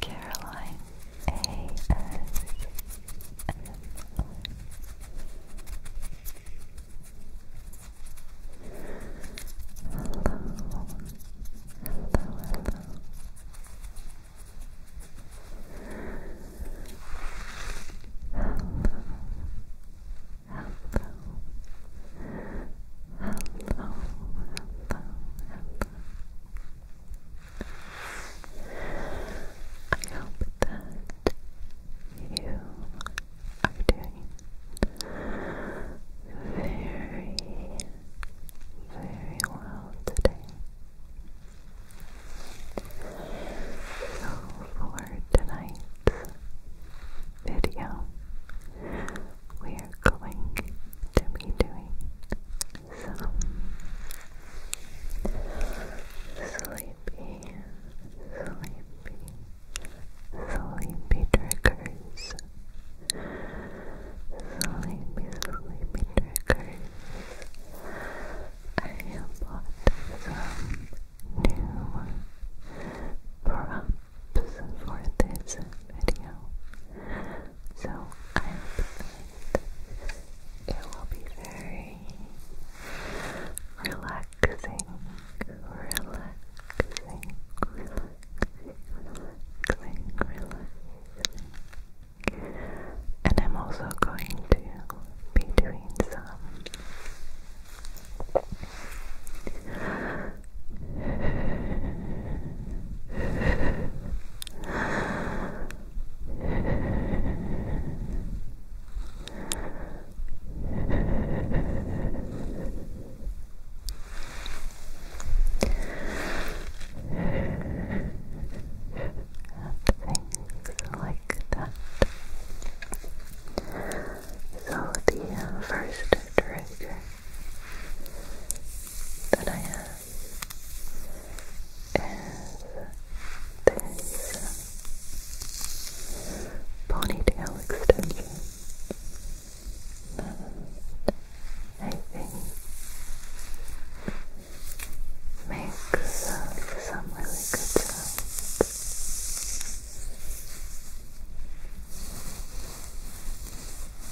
Caroline A. S. M. Hello, hello, hello, hello, hello. I hope that you are doing very, very well today. So for tonight's video, we are going to be doing some sleepy, sleepy, sleepy triggers. Sleepy, sleepy triggers. I have bought some new props for this video. So I hope that it will be very relaxing, relaxing, relaxing, relaxing, And I'm also going to be doing some Things like that. So, the uh, first trigger that I have is this ponytail extension I think makes uh, some really good what you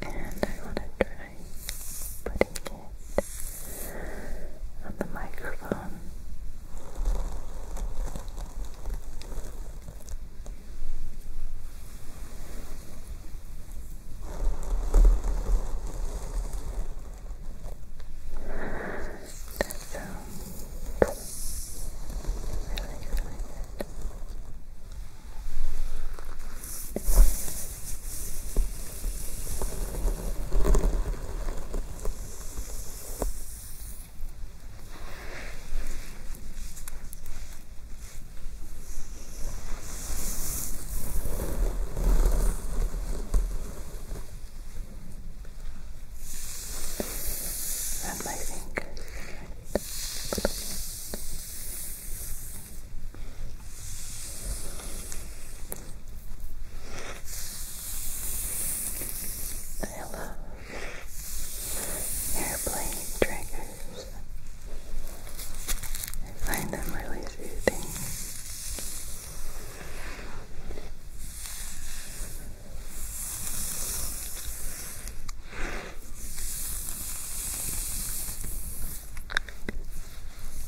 And I want to try putting it the microphone. That sounds really good. Wrap my finger. Right. I love airplane triggers. I find them really soothing.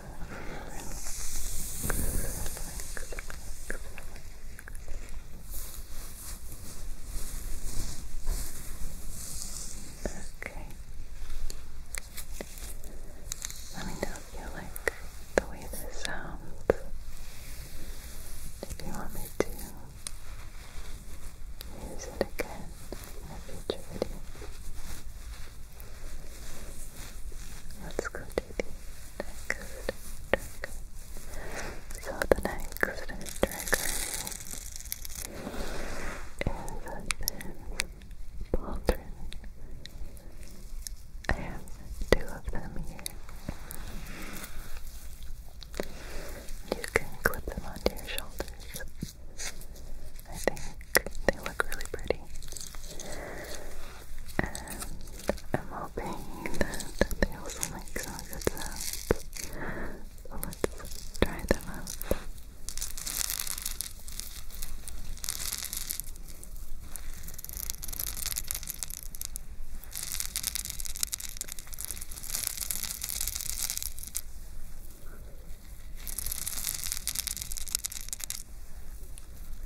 Okay. Let me know if you like the way this sounds. If you want me to use it again in a future Let's go to the next trigger. So the next trigger is this pauldron. I have two of them here. You can clip them onto your shoulders. I think they look really pretty and um, I'm hoping that they also make some good sounds. let's try them out.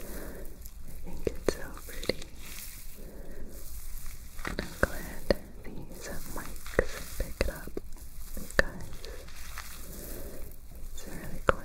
I think it's so pretty. I'm glad these mics pick it up because it's really quiet.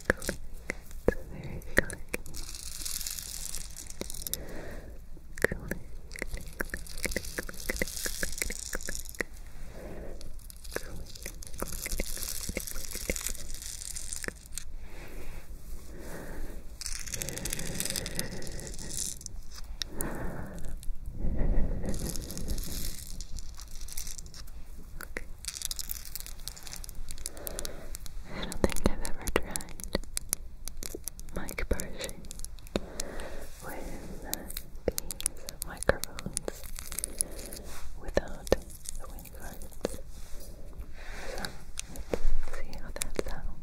click. It's very clicky. Click, click, click, click, click, click, click. Okay. I don't think I've ever tried mic brushing with these microphones without the wind guards. let's see how that sounds.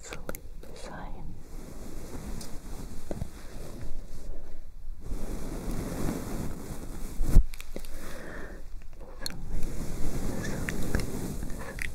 sleep sign. Relax, relax, relax, relax,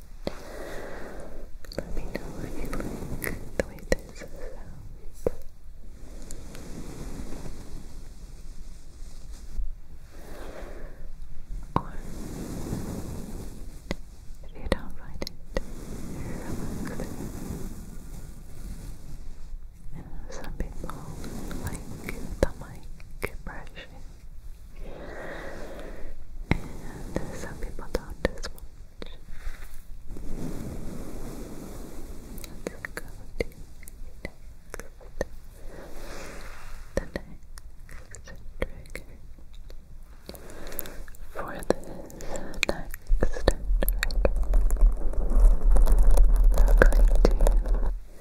Let me know if you like the way this sounds. Or if you don't find it relaxing. You know, some people like the mic brushes and some people don't as much. Let's go to next. The next For this next trigger, we're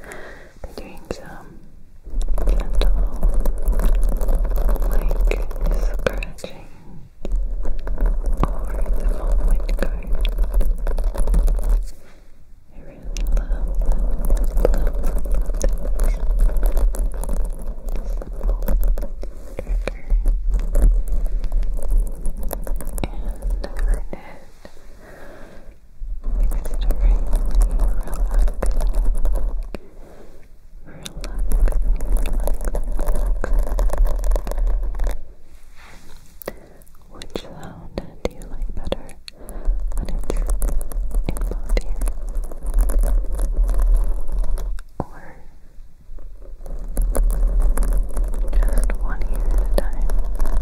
going to be doing some gentle, like the phone wind card. I really love, love, love, And I learned it extremely relaxing relax. Which sound do you like better when it's in both ears? Or just one ear at a time?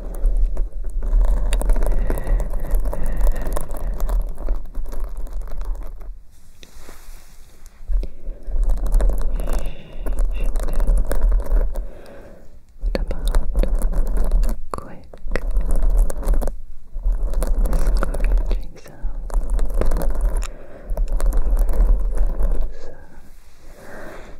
about quick scratching sounds?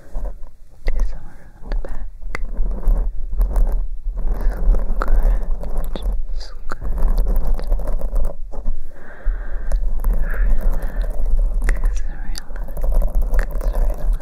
do some around the back. Scratch, scratch. Relax, relax, relax. Relax, relax. Relax, relax.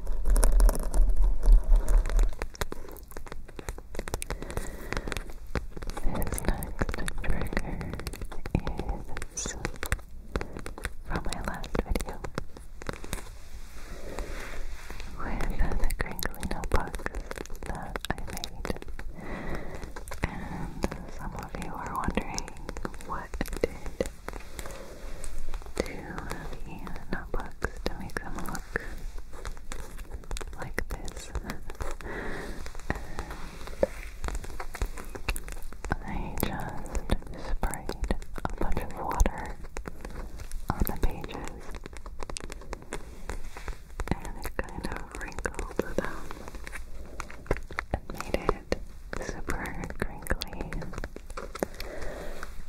This next trigger is from my last video with the crinkly notebook that I made. And some of you are wondering what did the notebooks to make them look like this. I just sprayed a bunch of water on the pages and it kind of wrinkled them and made it super crinkly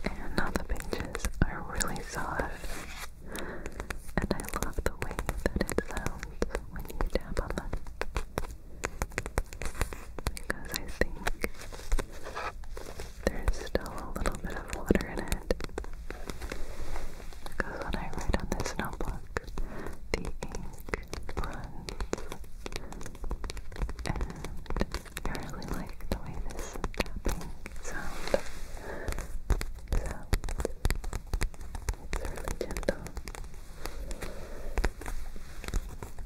and all the pages are really soft. And I love the way that it sounds when you tap on them. Because I think there's still a little bit of water in it. Because when I write on this notebook, the ink runs I really like the way this tapping sounds. So it's really gentle. Sounds a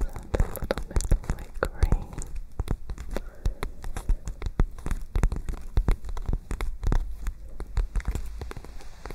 little bit like rain.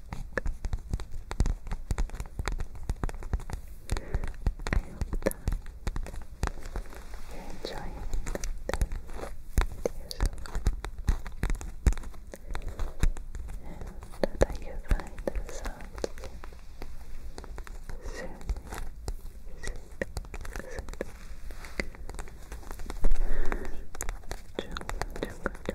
hope that you're enjoying that and that you find the sounds soothing, soothing, soothing. Jungle, jungle,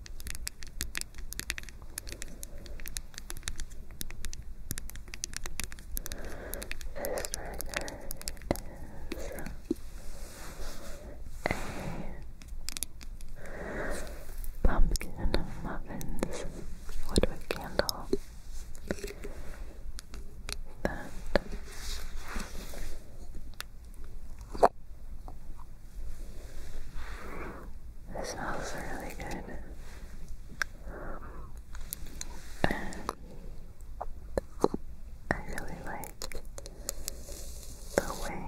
This record is a pumpkin muffins woodwick candle it smells really good. And I really like the way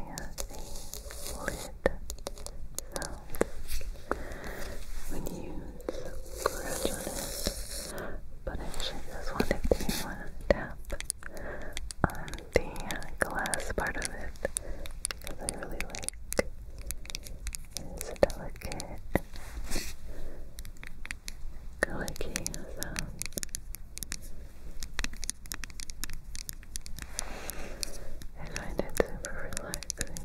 the lid sounds when you scratch it. But I actually just wanted to tap the glass part of it because I really like this delicate clicking sound. I find it super relaxing.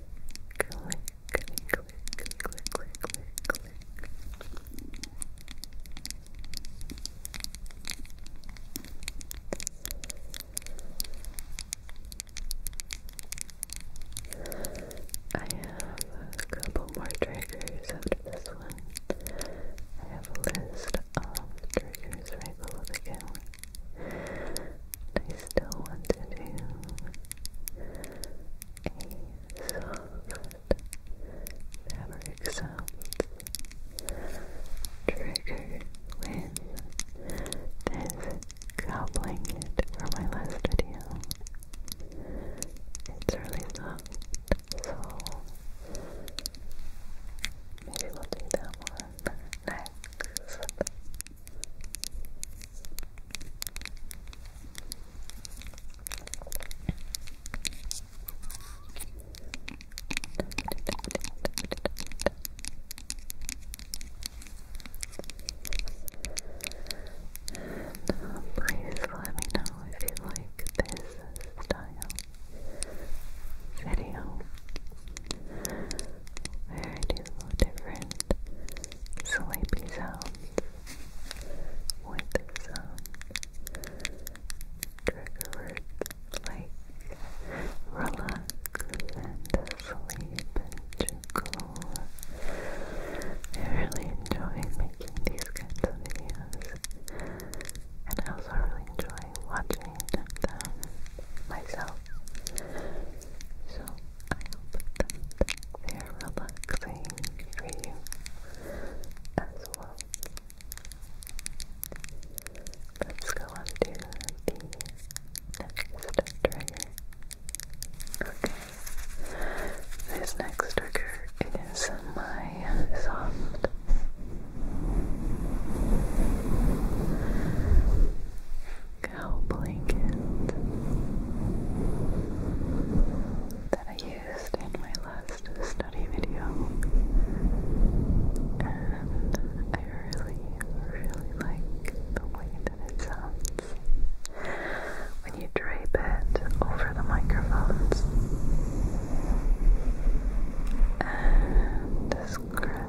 I have a couple more triggers after this one. I have a list of triggers right below the camera. I still want to do a soft fabric sounds trigger with this cow blanket from my last video. It's really soft, so maybe we'll do that one next. Please let me know if you like this style video different sleepy sounds with some trigger like relax and sleep and chuckle. I really enjoy making these kinds of videos and I also really enjoy watching them myself. So I hope that they are relaxing for you as well. Let's go on the next trigger. Okay. This next trigger is my soft cow blanket that I used in my last study video and I really, really like the way that it sounds when you drape it over the microphones and scratch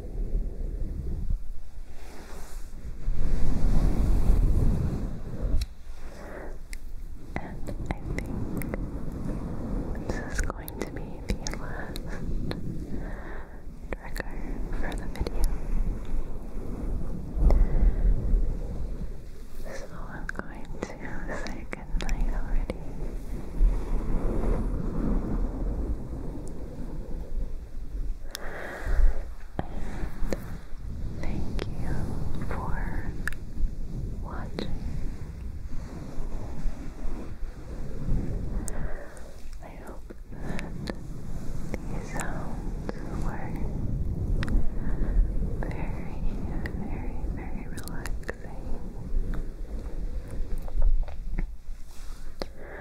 And I think this is going to be the last trigger for the video. So I'm going to say goodnight already thank you for watching. I hope that these sounds were very, very, very relaxing. And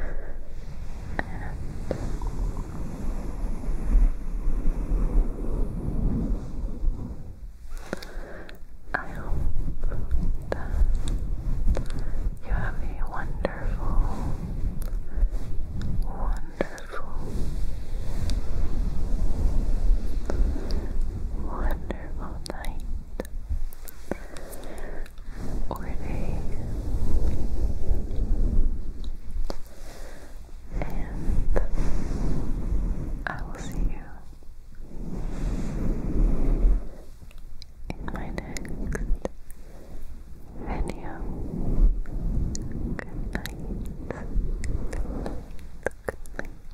I hope that you have a wonderful, wonderful, wonderful night or an A. And I will see you in my next video. Good night. Good night.